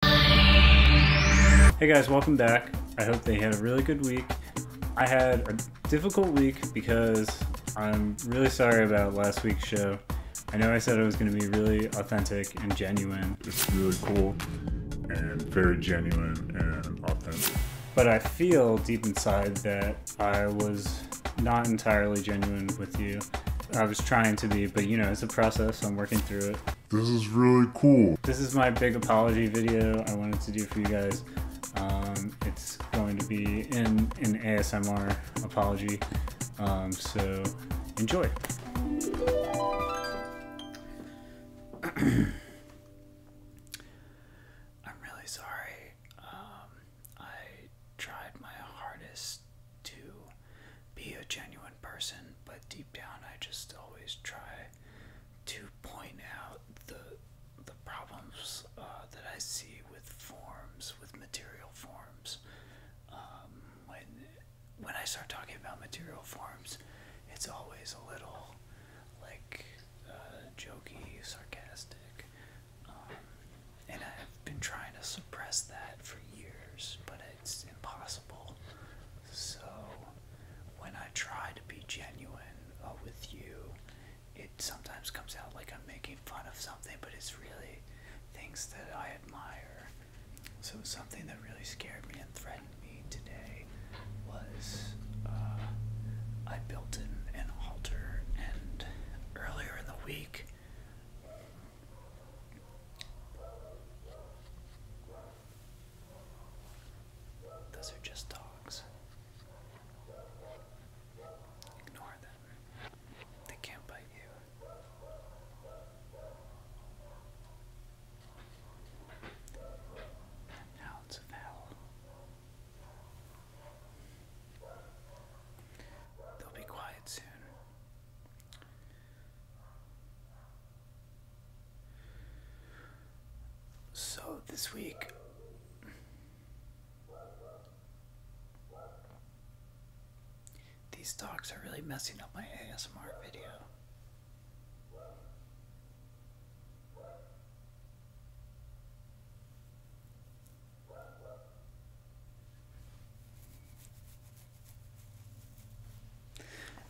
Hey guys, welcome back. I hope they had a really good week. I had a difficult week because I'm really sorry about last week's show. I know I said it was going to be really authentic and genuine. It's really cool and very genuine and authentic. But I feel deep inside that I was not entirely genuine with you. I was trying to be, but you know, it's a process. I'm working through it. This is really cool. This is my big apology video I wanted to do for you guys. Um, it's going to be in an ASMR apology, um, so enjoy. I'm really sorry. Um, I tried my hardest to be a genuine person, but deep down I just always try to point out the the problems uh, that I see with forms, with material forms. Um, when when I start talking about material forms, it's always a little like uh, jokey, sarcastic, um, and I've been trying to suppress that for years, but it's impossible. So when I try to be genuine uh, with you, it sometimes comes out like I'm making fun of something, but it's really things that I admire. So something that really scared me and threatened me today was uh, I built an, an altar, and earlier in the week those are just dogs. Ignore them. They can't bite you. Hounds of hell. They'll be quiet soon. So this week, these dogs are really messing up my ASMR video.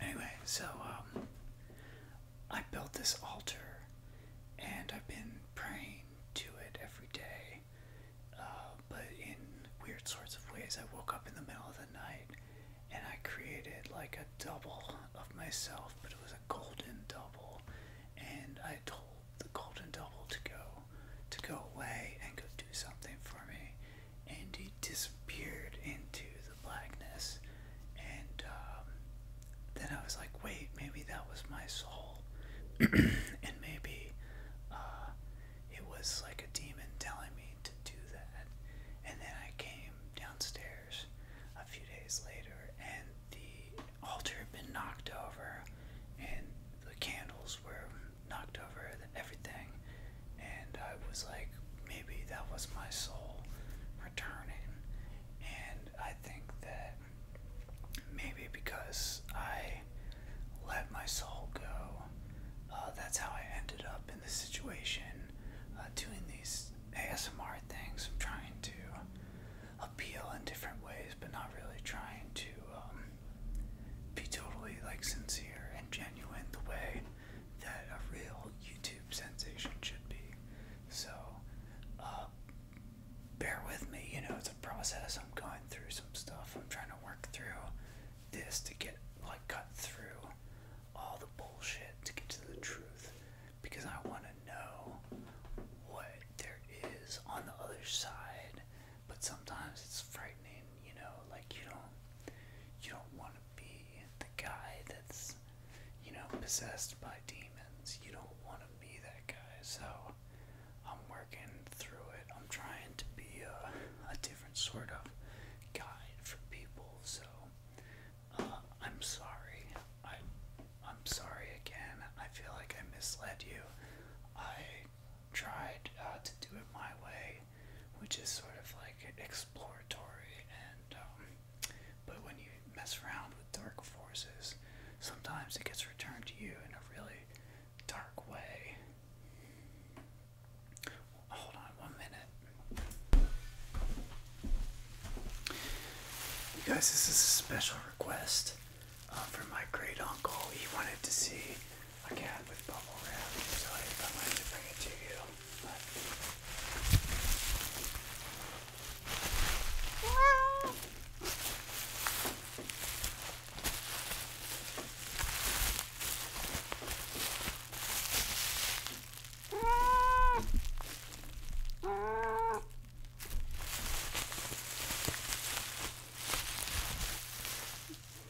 Anyway, so um, I built this altar and I've been praying to it every day, uh, but in weird sorts of ways. I woke up in the middle of the night and I created like a double of myself, but it was a golden double, and I told the golden double to go to go away and go do something for me and he disappeared into the blackness. And um, then I was like, wait, maybe that was my soul, and maybe uh, it was like a demon telling me to do that. And then I came downstairs a few days later, and the altar had been knocked over, and the candles were knocked over everything, and I was like, maybe that was my soul returning. And I think that maybe because I let my soul go, uh, that's how I ended up in this situation uh, doing these ASMR things. I'm trying to appeal in different ways, but not really trying to um, be totally like sincere and genuine the way that a real YouTube sensation should be. So, uh, bear with me, you know, it's a process. I'm going through some stuff. I'm trying to work through this to get, like, cut through all the bullshit to get to the truth because I want to know what there is on the other side. But sometimes it's frightening you know, like you don't you don't want to be the guy that's you know possessed by demons. You don't want to be that guy. So I'm working through it. I'm trying to be a, a different sort of guide for people. So uh, I'm sorry. I I'm sorry again. I feel like I misled you. I tried uh, to do it my way which is sort of like exploratory and um, but when you mess around with dark forces, sometimes it gets returned to you in a really dark way. Hold on one minute. You guys, this is a special request uh, from my great uncle. He wanted to see a cat with bubble wrap, so I thought I should bring it to you. But... Yeah.